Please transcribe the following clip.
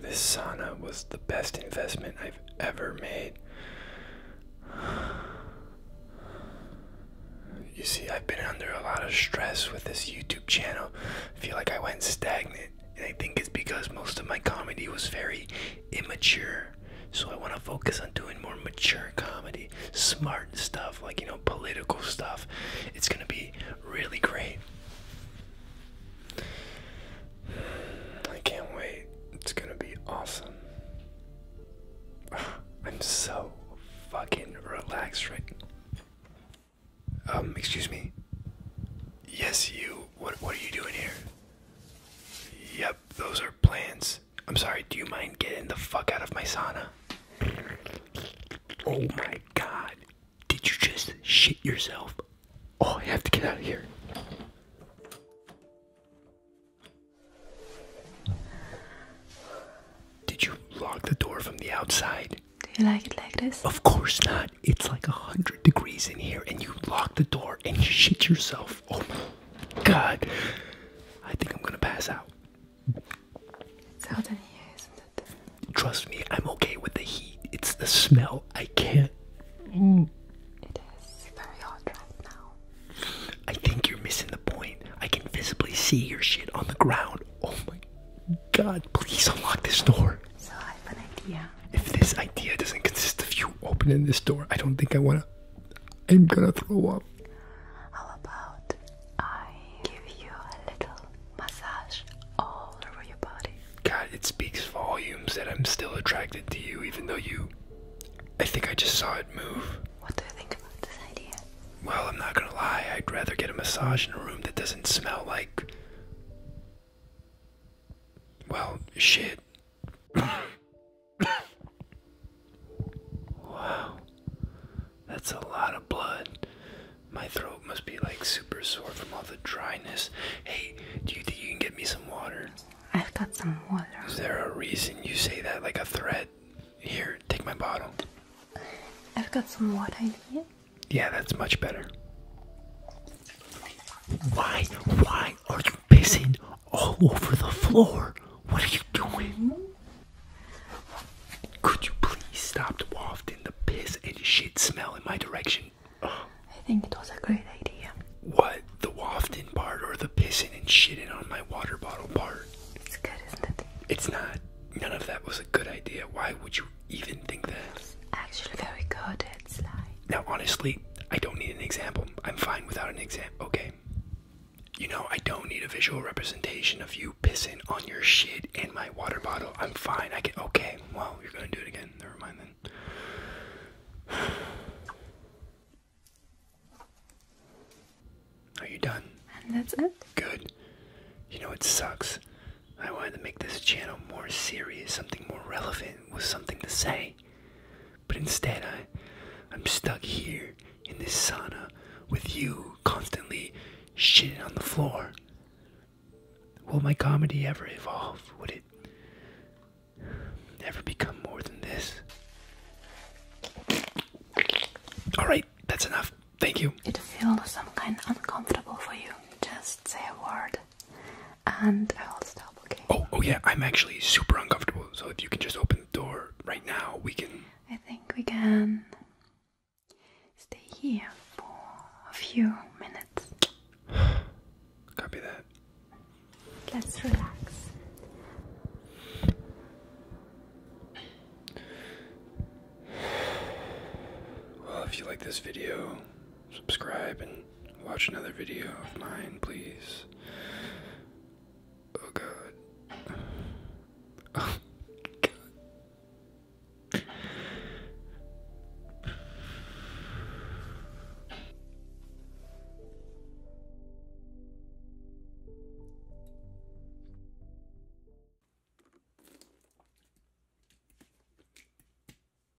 This sauna was the best investment I've ever made. You see, I've been under a lot of stress with this YouTube channel. I feel like I went stagnant, and I think it's because most of my comedy was very immature. So I want to focus on doing more mature comedy, smart stuff, like, you know, political stuff. It's going to be really great. I can't wait. It's gonna be awesome. I'm so fucking relaxed right now. Um, excuse me. Yes, you. What, what are you doing here? Yep, those are plants. I'm sorry, do you mind getting the fuck out of my sauna? Oh my god, did you just shit yourself? Oh, I have to get out of here. Did you lock the door from the outside? Do you like it like this? Of course not. It's like 100 degrees in here, and you lock the door and you shit yourself. Oh god. I think I'm gonna pass out. It's out Trust me, I'm okay with the heat. It's the smell. I can't. Mm. It is very hot right now. I think you're missing the point. I can visibly see your shit on the ground. Oh my god, please unlock this door. So I have an idea. If this idea doesn't consist of you opening this door, I don't think I wanna. I'm gonna throw up. How about I give you a little massage all over your body. God, it speaks volumes that I'm still attracted to you, even though you. I think I just saw it move. What do you think about this idea? Well, I'm not gonna lie, I'd rather get a massage in a room that doesn't smell like. Well, shit. Wow. That's a lot of blood. My throat must be like super sore from all the dryness. Hey, do you think you can get me some water? I've got some water. Is there a reason you say that like a threat? Here, take my bottle. I've got some water in here. Yeah, that's much better. Why, why are you pissing all over the floor? What are you doing? Mm-hmm. Could you please stop wafting the piss and shit smell in my direction? I think it was a great idea. What? The wafting part or the pissing and shitting on my water bottle part? It's good, isn't it? It's not. None of that was a good idea. Why would you even think that? It's actually very good. It's like. Now, honestly, I don't need an example. I'm fine without an example. Okay you know, I don't need a visual representation of you pissing on your shit and my water bottle. I'm fine. I can. Okay. Well, you're gonna do it again. Never mind then. Are you done? And that's it. Good. You know, it sucks. I wanted to make this channel more serious, something more relevant, with something to say. But instead, I, I'm stuck here in this sauna with you constantly shitting on the floor. Will my comedy ever evolve? Would it ever become more than this? Alright, that's enough. Thank you. It feels some kind uncomfortable for you. Just say a word and I'll stop, looking. Oh, oh yeah, I'm actually super uncomfortable. So if you can just open the door right now, we can. I think we can stay here for a few minutes. Copy that. Let's relax. Well, if you like this video, subscribe and watch another video of mine, please. Oh god. Oh god.